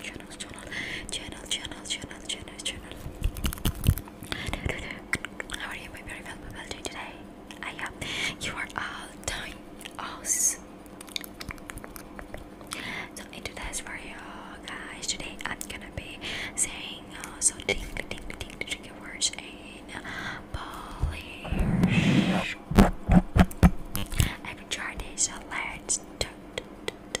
channel, channel, channel, channel, channel, channel, channel, channel. How are you, my very well, well doing today? I am. You are all doing awesome. So in today's video, guys, today I'm gonna be saying uh, so ding, ding, ding, ding, words in Polish. I've tried this, so let's do, do, do,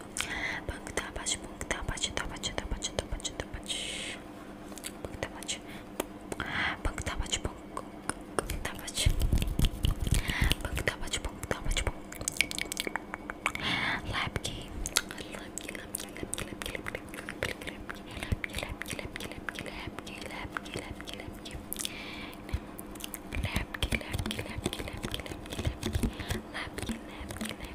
Pagtapach, pagtapach, tapach, tapach, tapach, tapach. Pagtapach. Pagtapach, pagtapach. Pagtapach, pagtapach. Lapki. Lapki, lapki, lapki, lapki, lapki, lapki, lapki, lapki, lapki, lapki, lapki, lapki, lapki. Lapki, lapki, lapki, lapki, lapki, lapki, lapki, lapki.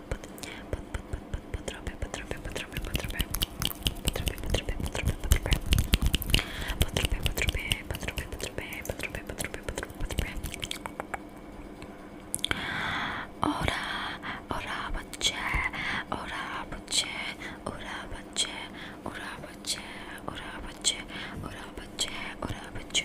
potrzebuję, potrzebuję, potrzebuję, potrzebuję, potrzebuję, potrzebuję, potrzebuję, potrzebuję, potrzebuję, potrzebuję, potrzebuję, potrzebuję, potrzebuję, potrzebuję, Ora, ora, bądźcie, ora, bądźcie, ora, bądźcie, ora, bądźcie, ora, bądźcie, ora, bądźcie, ora, bądźcie.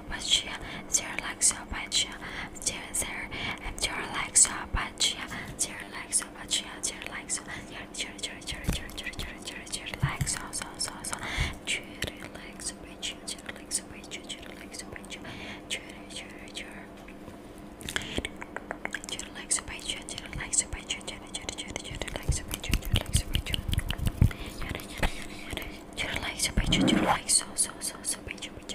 Sopatia, dear like Sopatia, dear there, and dear like Sopatia, dear like Sopatia, dear like so, dear, dear, dear, dear, dear, dear, dear, dear, dear, like so, so, so, so, dear, like Sopatia, dear like Sopatia, dear like Sopatia, dear, dear, dear, dear like Sopatia, dear like Sopatia, dear, dear, dear, dear, like Sopatia, dear like Sopatia, dear like Sopatia, dear like so, so, so, so, so, so, so,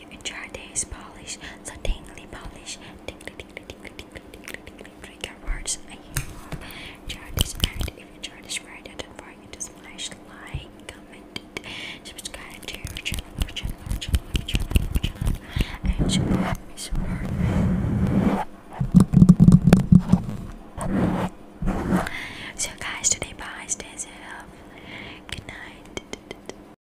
you enjoy this polish, so tingly polish, tingly, tingly, tingly, tingly, tingly, tingly, trigger words. I hope you enjoy this and if you enjoy this video, don't forget to smash like, comment, subscribe to your channel, our channel, our channel, our channel, our channel, and support me, support me. So guys, today bye, stay safe, good night.